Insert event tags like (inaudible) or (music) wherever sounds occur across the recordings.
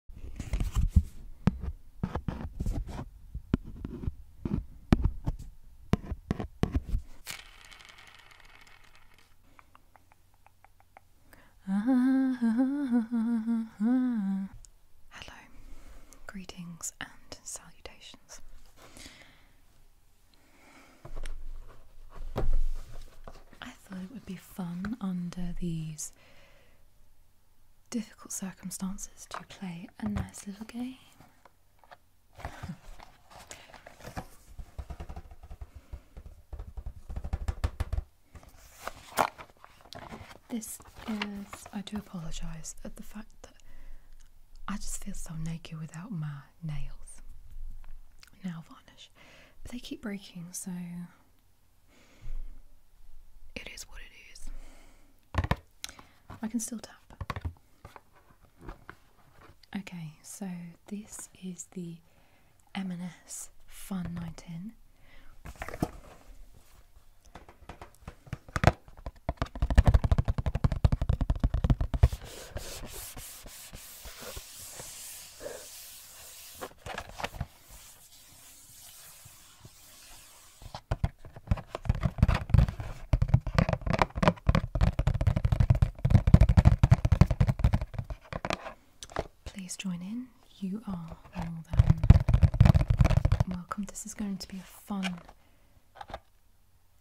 (laughs) Hello, greetings and salutations. I thought it would be fun under these difficult circumstances to play a nice little game. this is. I do apologise at the fact that I just feel so naked without my nails, nail varnish. They keep breaking, so it is what it is. I can still tap. Okay, so this is the M&S Fun Night Please join in. You are more welcome. This is going to be a fun.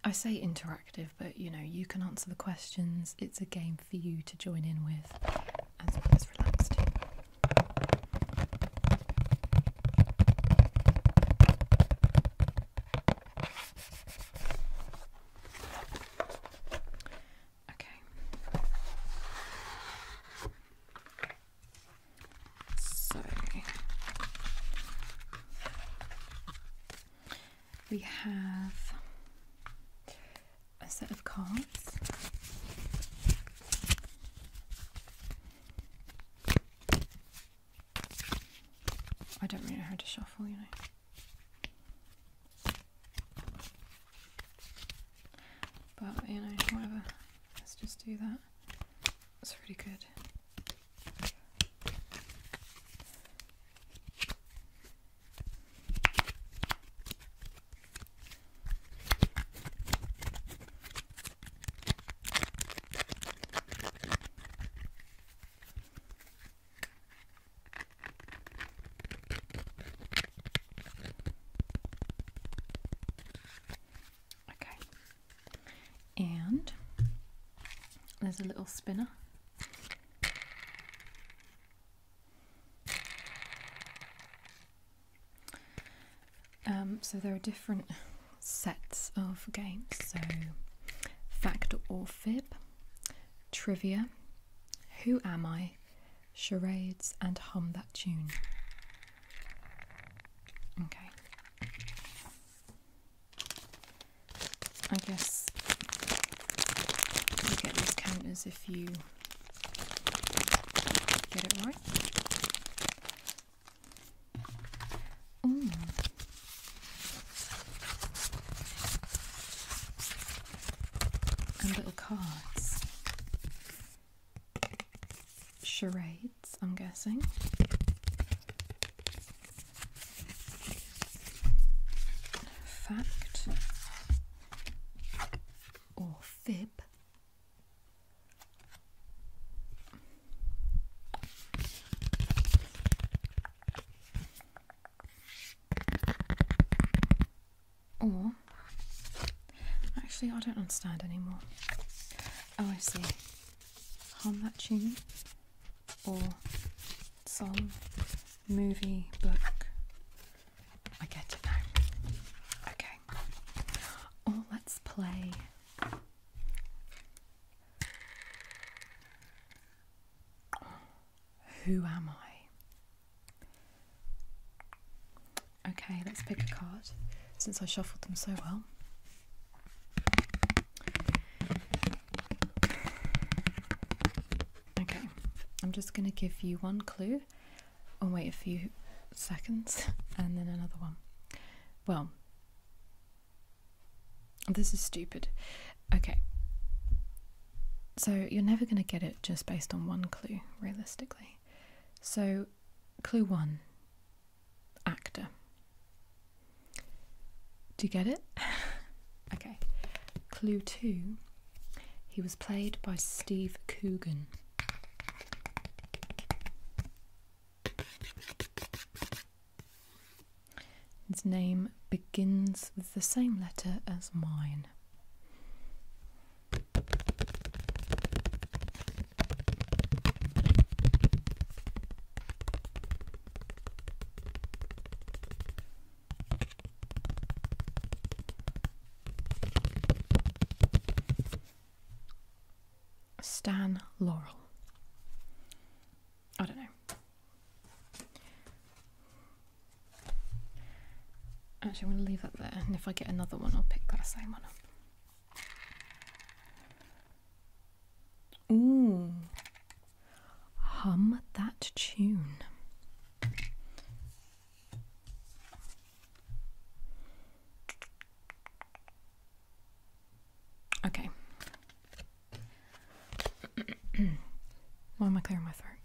I say interactive, but you know, you can answer the questions. It's a game for you to join in with as well as Okay. So we have a set of cards. I don't really know how to shuffle, you know. But, you know, whatever. Let's just do that. That's really good. Okay, and there's a little spinner um, so there are different sets of games, so fact or fib, trivia, who am I, charades, and hum that tune. Okay. I guess you get these counters if you Get it right. And little cards. Charades, I'm guessing. Fact or fib. Or, actually, I don't understand anymore. Oh, I see. How much tune, or song, movie, book, I get it now. Okay. Oh, let's play. Who am I? Okay, let's pick a card since I shuffled them so well. Okay, I'm just going to give you one clue and wait a few seconds (laughs) and then another one. Well, this is stupid. Okay. So you're never going to get it just based on one clue, realistically. So, clue one actor. Do you get it? (laughs) okay. Clue two he was played by Steve Coogan. His name begins with the same letter as mine. Stan Laurel. I don't know. Actually, I'm going to leave that there, and if I get another one, I'll pick that same one up. Ooh. Hum that tune. Okay. Why am I clearing my throat?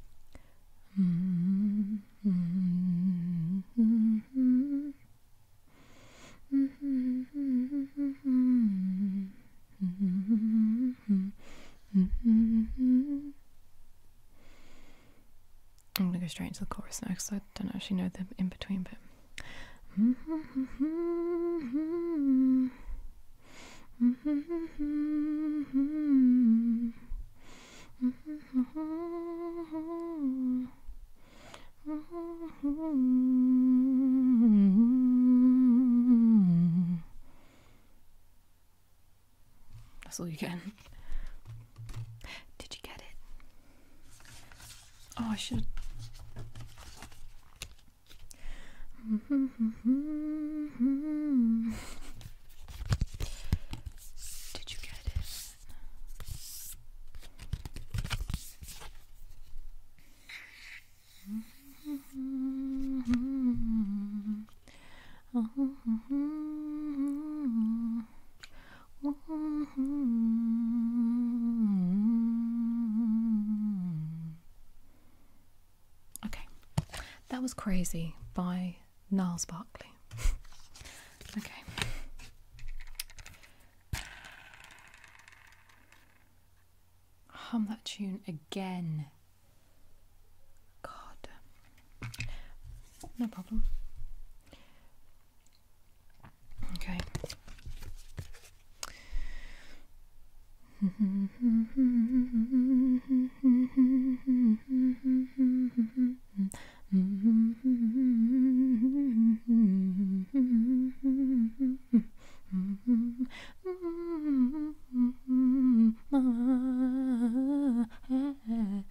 I'm gonna go straight into the chorus now because I don't actually know the in between but. (laughs) That's all you get. Did you get it? Oh, I should. Did you get it? (laughs) Okay, that was Crazy by Niles Barkley. (laughs) okay. Hum that tune again. God. No problem. Okay. (laughs)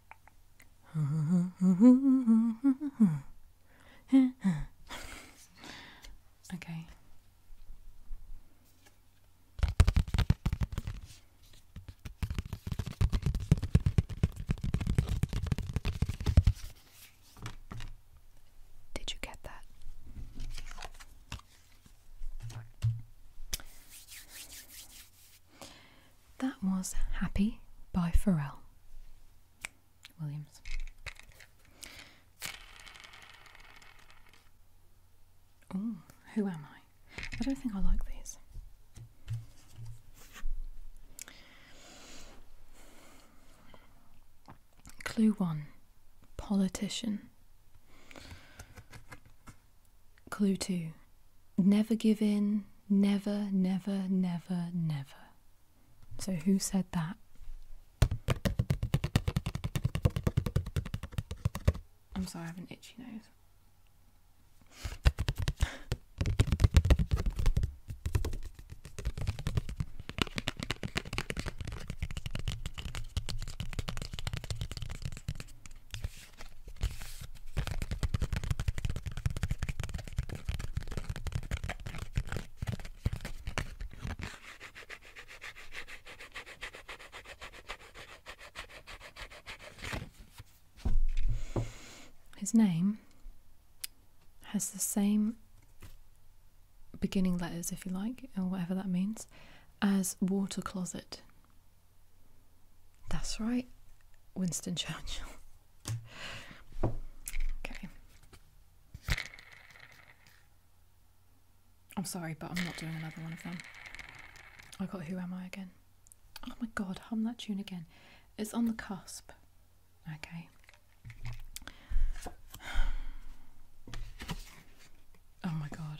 okay. Did you get that? That was Happy by Pharrell. Williams. Oh, who am I? I don't think I like these. Clue 1 Politician. Clue 2 Never give in, never, never, never, never. So, who said that? I'm sorry, I have an itchy nose. His name has the same beginning letters, if you like, or whatever that means, as water closet. That's right, Winston Churchill. (laughs) Okay. I'm sorry, but I'm not doing another one of them. I got Who Am I again? Oh my god, hum that tune again. It's on the cusp. Okay. (sighs) Oh my god.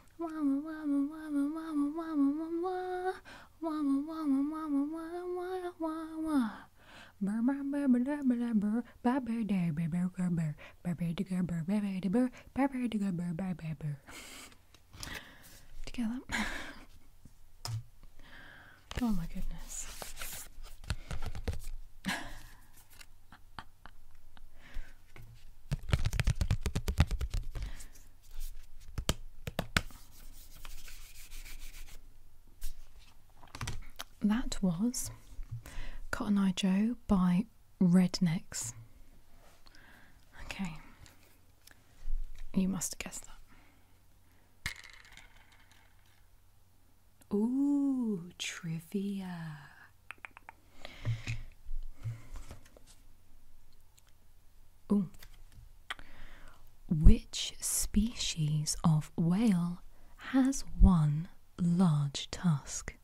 Together. oh my goodness. That was Cotton Eye Joe by Rednecks. Okay, you must have guessed that. Ooh, trivia. Ooh. Which species of whale has one large tusk?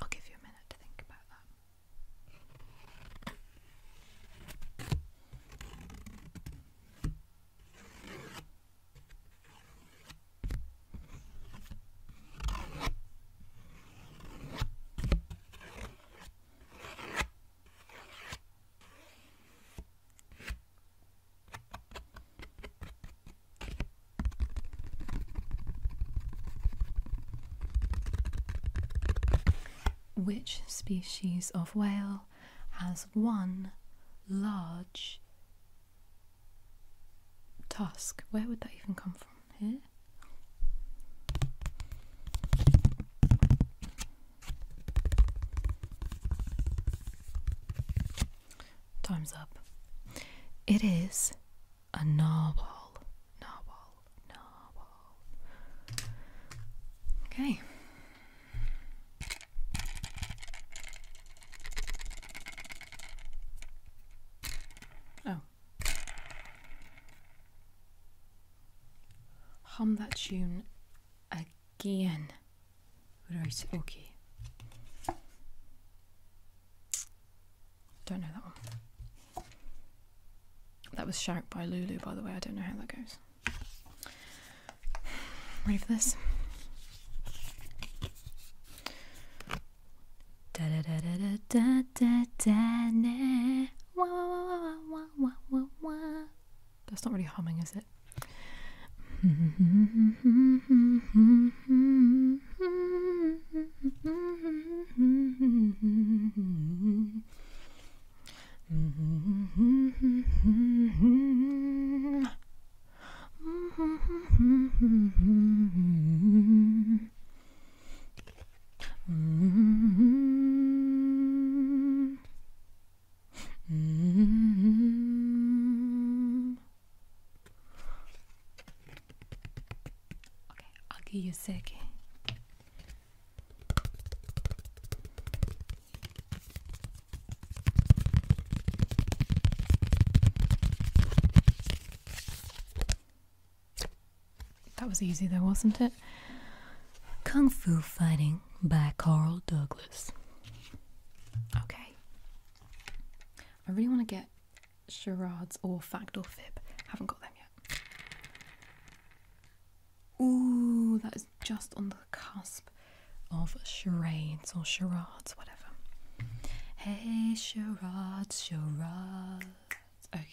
I'll give you a minute to think about that. Which species of whale has one large tusk? Where would that even come from? Here? Time's up. It is a narwhal. Narwhal. Narwhal. Okay. Oh, Hum that tune again. Right, okay. Don't know that one. That was Shout by Lulu, by the way. I don't know how that goes. (sighs) Ready for this? That's not really humming, is it? Okay, I'll give you a second. That was easy though, wasn't it? Kung Fu Fighting by Carl Douglas. Okay. I really want to get charades or fact or fib. Haven't got them yet. Ooh, that is just on the cusp of charades or charades, whatever. Hey, charades, charades. Okay.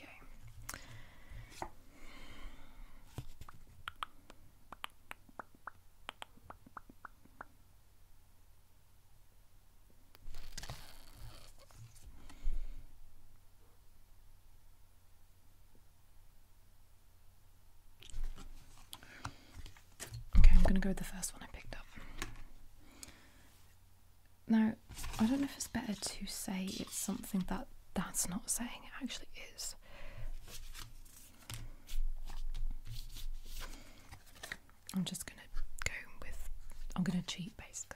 Okay, I'm going to go with the first one I picked up. Now, I don't know if it's better to say it's something that that's not saying it actually is. I'm just gonna go with, I'm gonna cheat basically.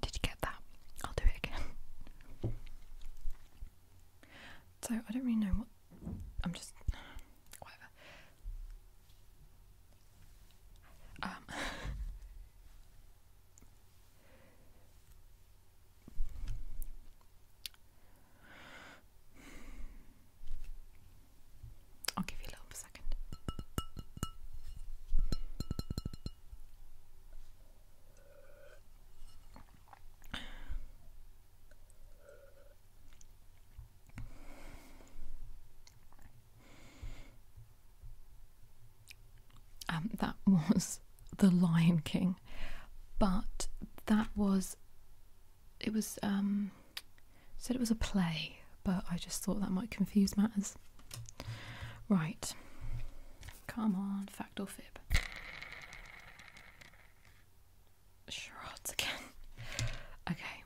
Did you get that? I'll do it again. (laughs) So I don't really know what I'm just (sighs) whatever. Um (laughs) I'll give you a little second. Um, that (laughs) was The Lion King, but that was it was um said it was a play, but I just thought that might confuse matters. Right. Come on, fact or fib. Charades again. Okay.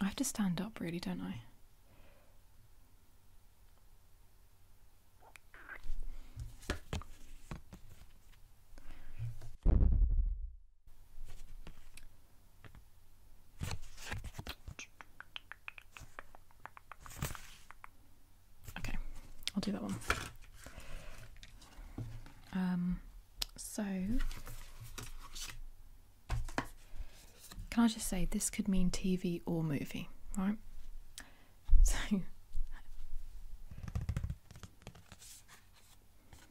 I have to stand up, really, don't I? Okay, I'll do that one. Um, so, can I just say this could mean TV or movie, right?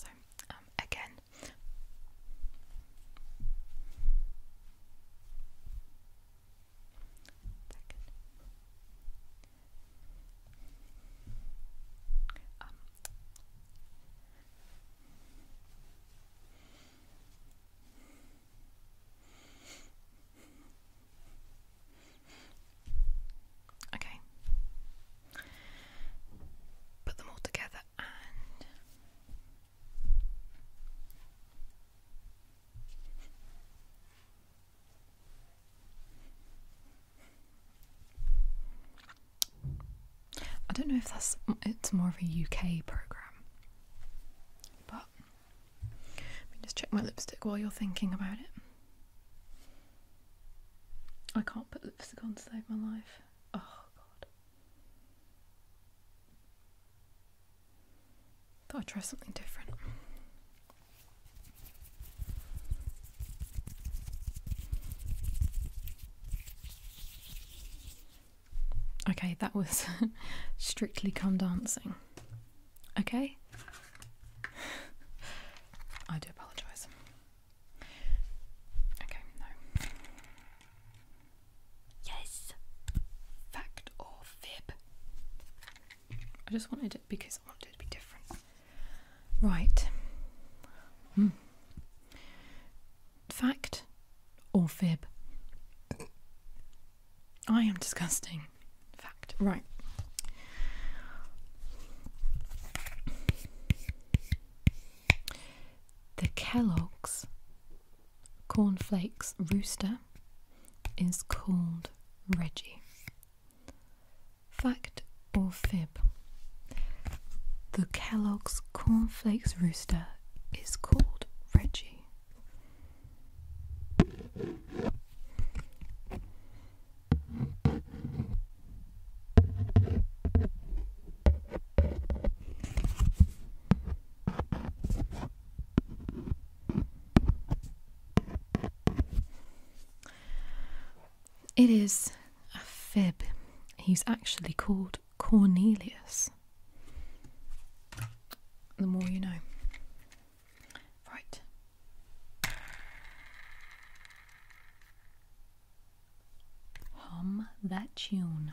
So, um, again, um, okay. Put them all together and I don't know if that's it's more of a UK program, but let me just check my lipstick while you're thinking about it. I can't put lipstick on to save my life. Oh god. Thought I'd try something different. Okay, that was (laughs) strictly come dancing. Okay? I do apologise. Okay, no. Yes! Fact or fib? I just wanted it because I wanted it to be different. Right. Hmm. Fact or fib? I am disgusting. Fact. Right. The Kellogg's cornflakes rooster is called Reggie. Fact or fib? The Kellogg's cornflakes rooster is called Reggie. It is a fib. He's actually called Cornelius. The more you know. Right. Hum that tune.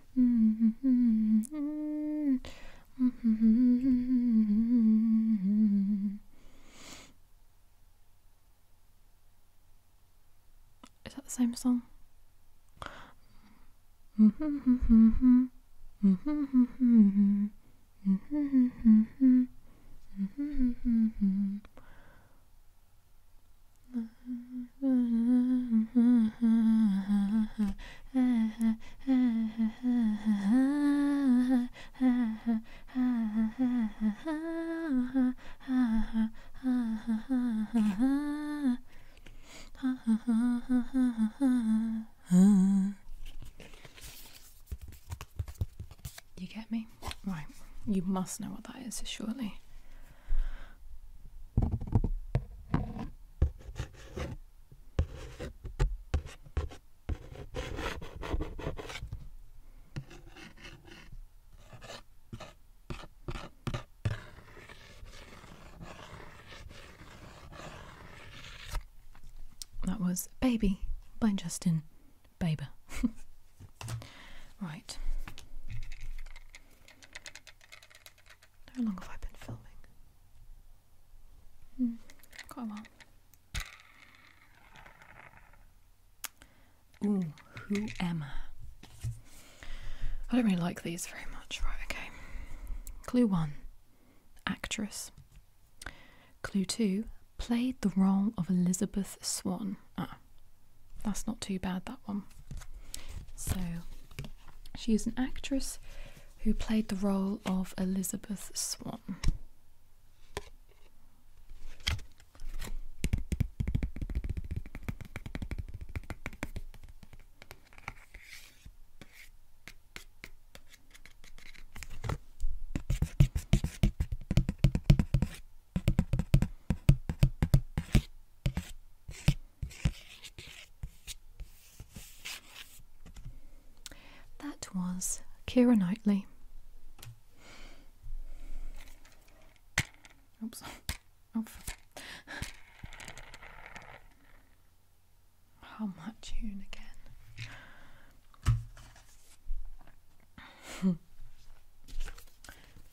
Mm-hmm. Is that the same song? Mm-hmm. Mm-hmm. You get me? Right, you must know what that is, surely. That was Baby by Justin Bieber. (laughs) right. How long have I been filming? Hmm, quite a while. Ooh, who am I? I don't really like these very much. Right, okay. Clue 1 Actress. Clue 2 Played the role of Elizabeth Swan. Ah, that's not too bad, that one. So, she is an actress who played the role of Elizabeth Swann. That was Kira Knightley. Oops. Oh, How much tune again? (laughs)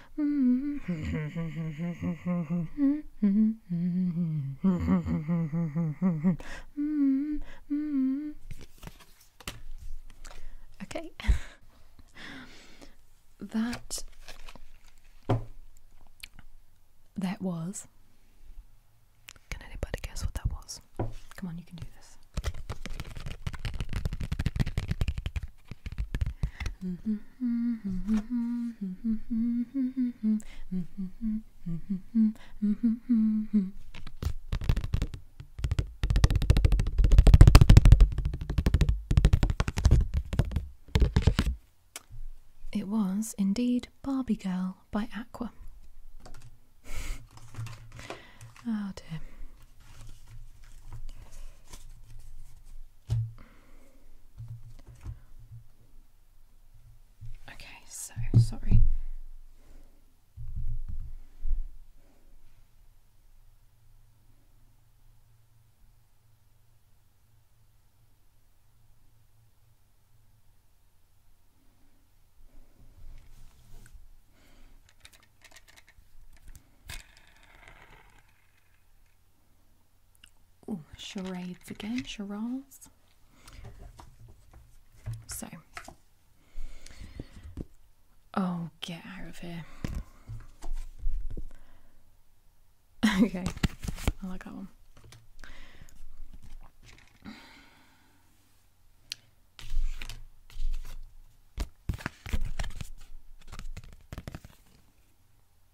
(laughs) okay. (laughs) that that was Can anybody guess what that was? Come on, you can do this. Mm -hmm. It was indeed Barbie Girl by Aqua. oh (laughs) dear. Okay, so sorry charades again, charades. So, oh, get out of here. (laughs) okay, I like that one.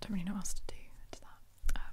don't really know what else to do to that. Um,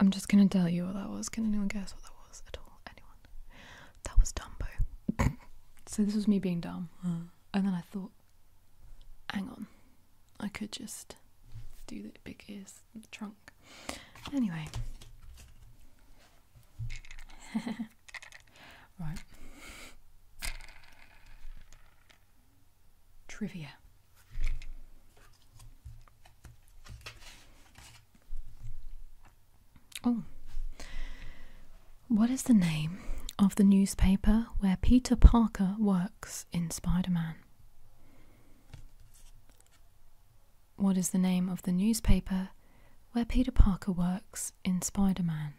I'm just gonna tell you what that was. Can anyone guess what that was at all? Anyone? That was Dumbo. (laughs) so this was me being dumb. Hmm. And then I thought, hang on, I could just do the big ears, the trunk. Anyway. (laughs) right. Trivia. Oh. What is the name of the newspaper where Peter Parker works in Spider Man? What is the name of the newspaper where Peter Parker works in Spider Man?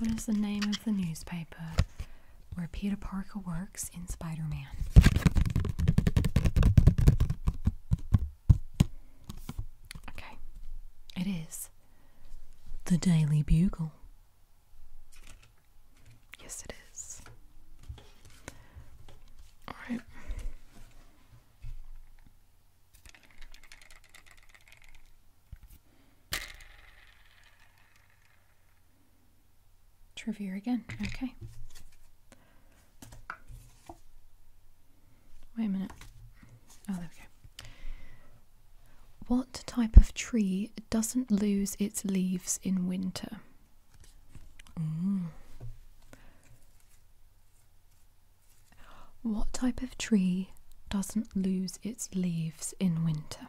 What is the name of the newspaper where Peter Parker works in Spider Man? Okay, it is the Daily Bugle. Yes, it is. All right. Trivia again. Okay. Wait a minute. Oh, there we go. What type of tree doesn't lose its leaves in winter? What type of tree doesn't lose its leaves in winter?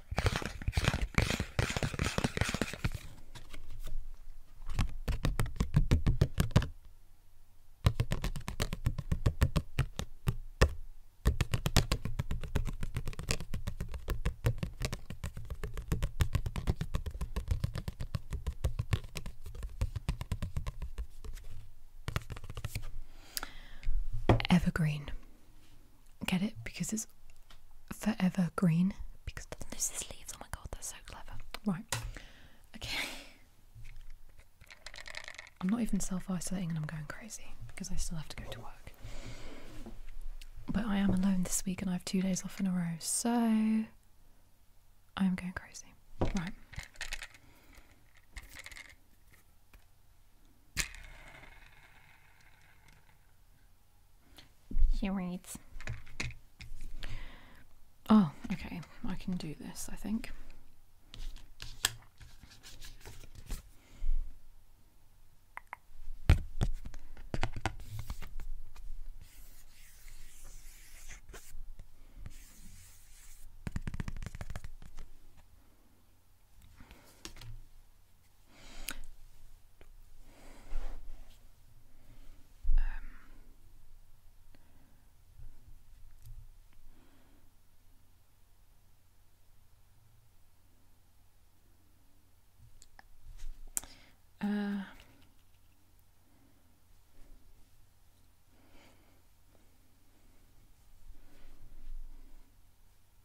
Evergreen get it because it's forever green because there's this leaves. Oh my god, they're so clever. Right. Okay. I'm not even self-isolating and I'm going crazy because I still have to go to work. But I am alone this week and I have two days off in a row, so I am going crazy. Right. He reads. Oh, okay. I can do this, I think. Um, uh,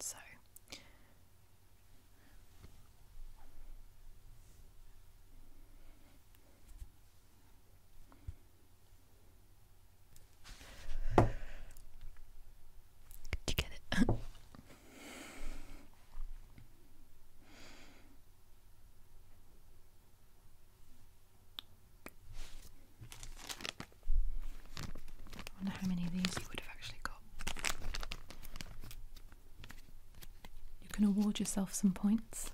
so did you get it? I wonder how many of these you would have actually got. You can award yourself some points.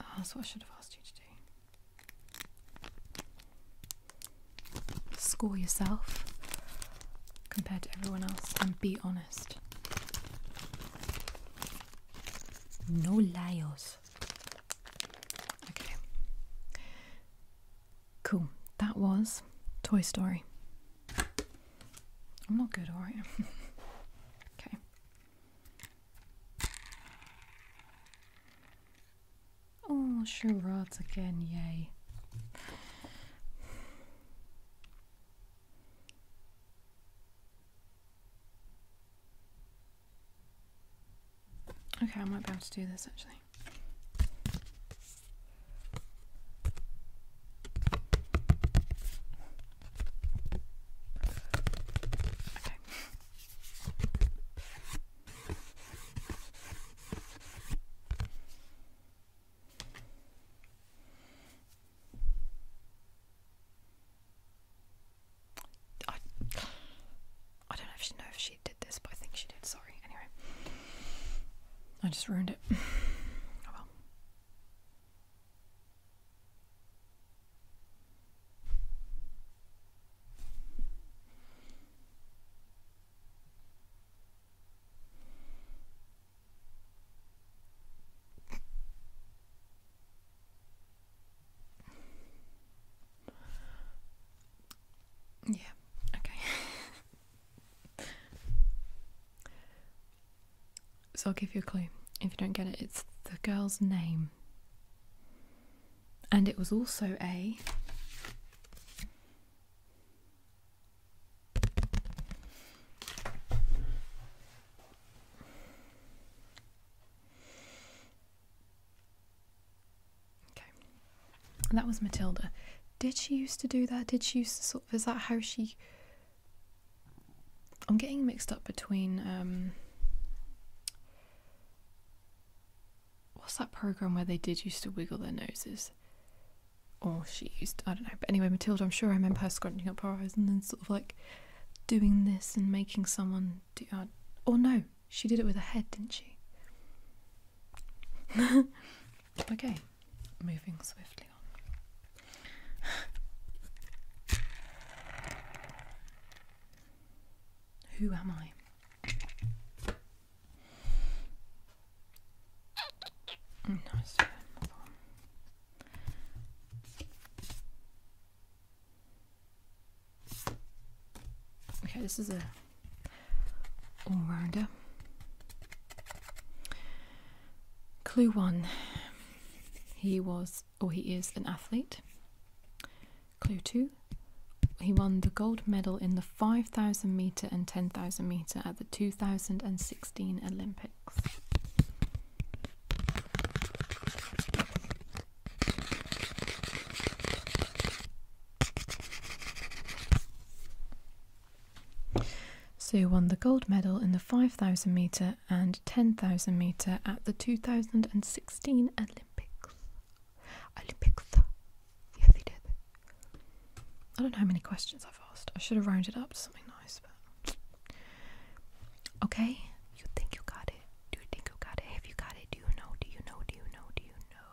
Ah, that's what I should have asked you to do. Score yourself compared to everyone else and be honest. No liars. Okay. Cool. That was Toy Story. I'm not good, alright? (laughs) okay. Oh, charades again, yay. Okay, I might be able to do this actually. Okay. I, I don't know if she know if she did this, but I think she did. Sorry. Anyway, I just ruined it. (sighs) oh well. Yeah, okay. (laughs) so I'll give you a clue. If you don't get it, it's the girl's name. And it was also a. Okay. that was Matilda. Did she used to do that? Did she used to sort of. Is that how she. I'm getting mixed up between. Um, what's that program where they did used to wiggle their noses? Or she used. I don't know. But anyway, Matilda, I'm sure I remember her scrunching up her eyes and then sort of like doing this and making someone do. Uh, or no, she did it with her head, didn't she? (laughs) okay, moving swiftly on. Who am I? Mm, Okay, this is a all-rounder. Clue one. He was, or he is, an athlete. Clue two. He won the gold medal in the 5,000 metre and 10,000 metre at the 2016 Olympics. Sue won the gold medal in the 5,000 metre and 10,000 metre at the 2016 Olympics. Olympics. Yeah, they did. I don't know how many questions I've asked. I should have rounded up to something nice, but. Okay, you think you got it. Do you think you got it? Have you got it? Do you know? Do you know? Do you know? Do you know?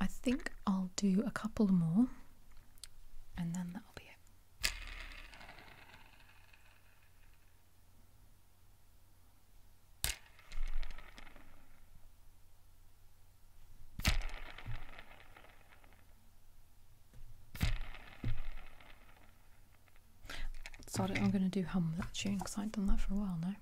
I think I'll do a couple more and then that'll be it. So I'm going to do hum that tune because I have done that for a while now.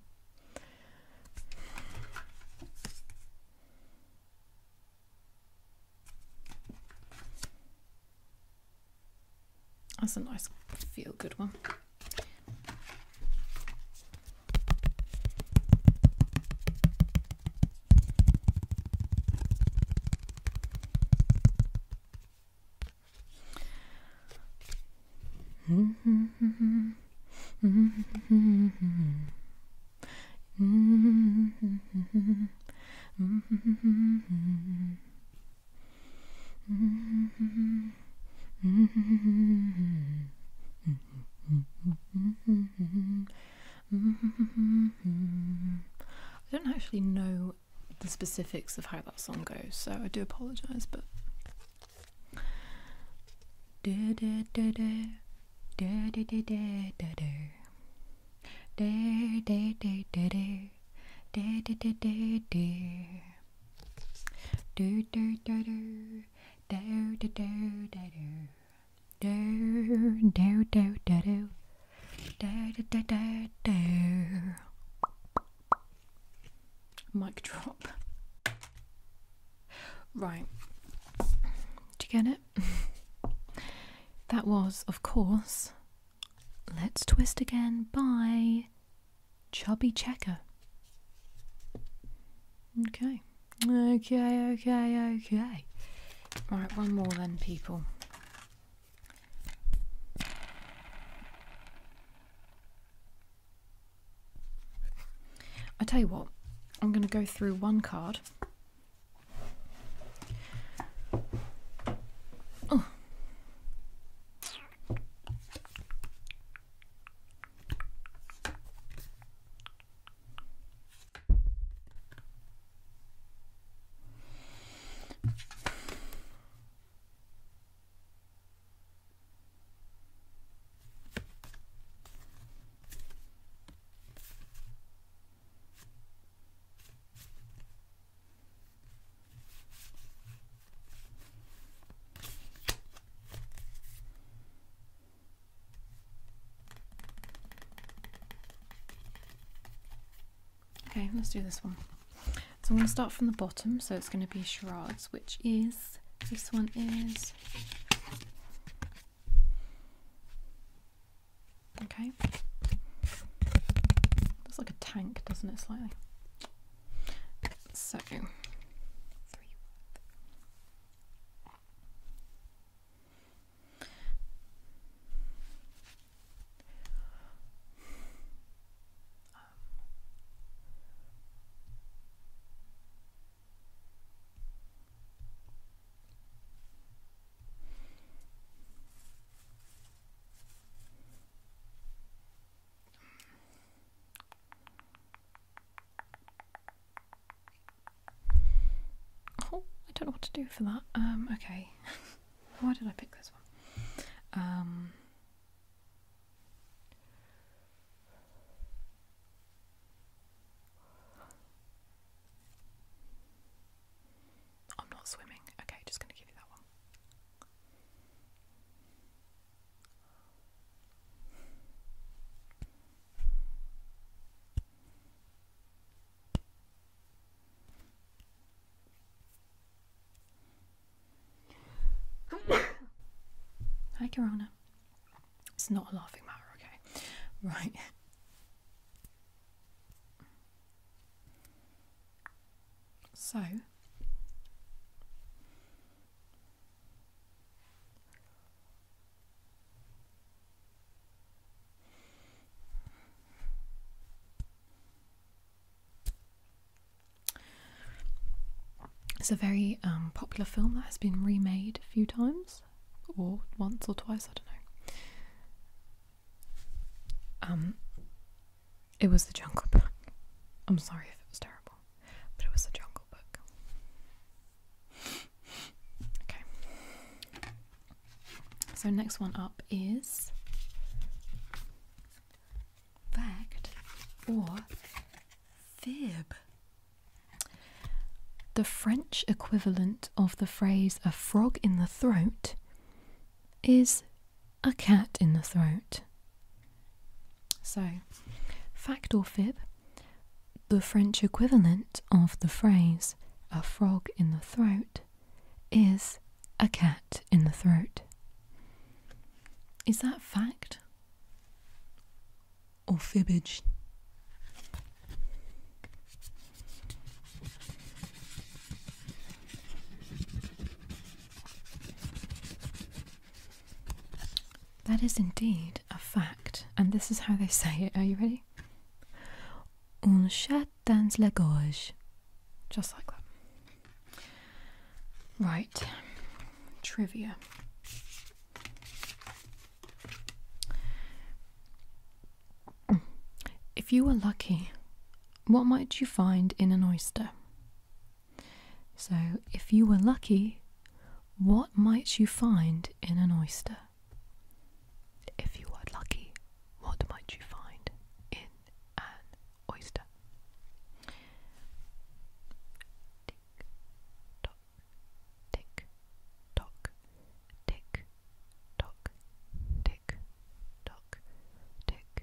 That's a nice feel good one. I don't actually know the specifics of how that song goes, so I do apologize, but Mic drop. Right. Do you get it? (laughs) that was, of course, Let's Twist Again by Chubby Checker. Okay. Okay, okay, okay. Right, one more then, people. I tell you what, I'm going to go through one card. Oh. Okay, let's do this one. So I'm going to start from the bottom, so it's going to be charades, which is this one is Okay. Looks like a tank, doesn't it, slightly? So, Oh, I don't know what to do for that. Um, okay. (laughs) Why did I pick this one? Um, I'm not swimming. Okay, just going to give you that one. Hi, Corona. It's not a laughing matter, okay? Right. So it's a very um, popular film that has been remade a few times, or once or twice, I don't know. Um, it was the Jungle Book. I'm sorry if it was terrible, but it was the Jungle Book. Okay. So, next one up is fact or Fib. The French equivalent of the phrase a frog in the throat is a cat in the throat. So, fact or fib, the French equivalent of the phrase a frog in the throat is a cat in the throat. Is that fact or fibbage. That is indeed a fact, and this is how they say it. Are you ready? Un chat dans la gorge. Just like that. Right, trivia. If you were lucky, what might you find in an oyster? So, if you were lucky, what might you find in an oyster? If you were lucky, what might you find in an oyster? tick tock, tick tock, tick tock, tick tock, tick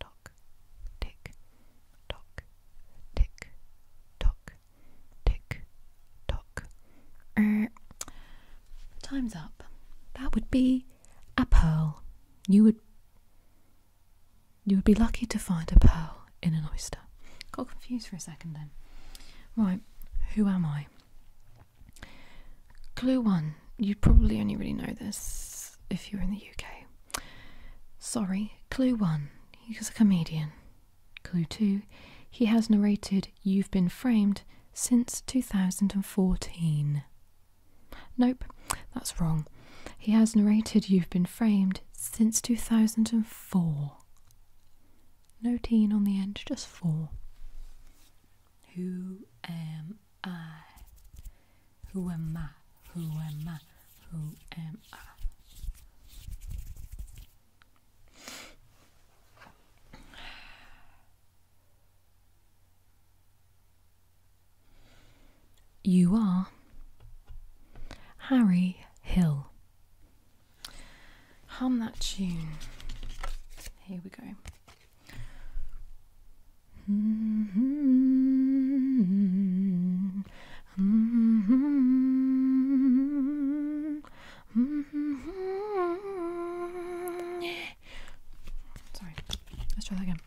tock, tick tock, tick tock, tick tock. Er, time's up. That would be a pearl. You would you would be lucky to find a pearl in an oyster. Got confused for a second then. Right, who am I? Clue one. You'd probably only really know this if you're in the UK. Sorry, clue one. He's a comedian. Clue two. He has narrated You've Been Framed since 2014. Nope, that's wrong. He has narrated You've Been Framed since 2004. No teen on the end, just four. Who am I? Who am I? Who am I? Who am I? You are Harry Hill. Hum that tune. Here we go. Mm-hmm. Mm-hmm. Mm-hmm. Sorry, let's try that again.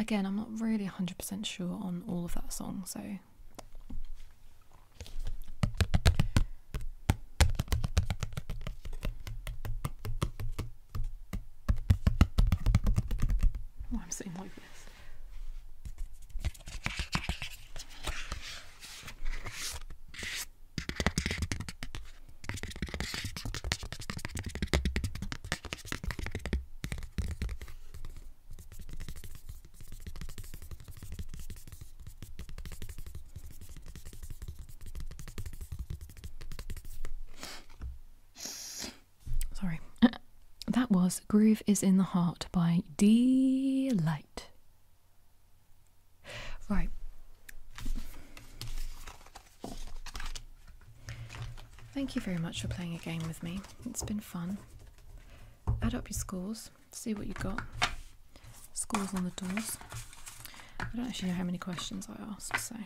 Again, I'm not really 100% sure on all of that song, so. Oh, I'm saying like this. Sorry. (laughs) that was Groove is in the Heart by D Light. Right. Thank you very much for playing a game with me. It's been fun. Add up your scores, see what you got. Scores on the doors. I don't actually know how many questions I asked, so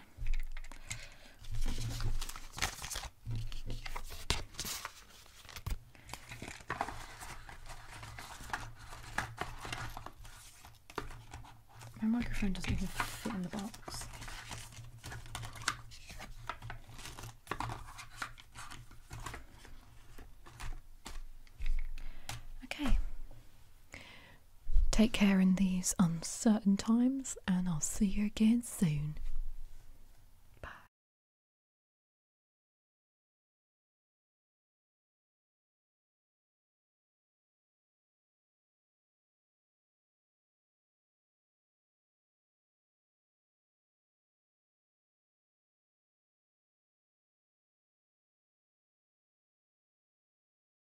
my microphone doesn't even fit in the box. Okay, Take care in these uncertain times, and I'll see you again soon. Bye.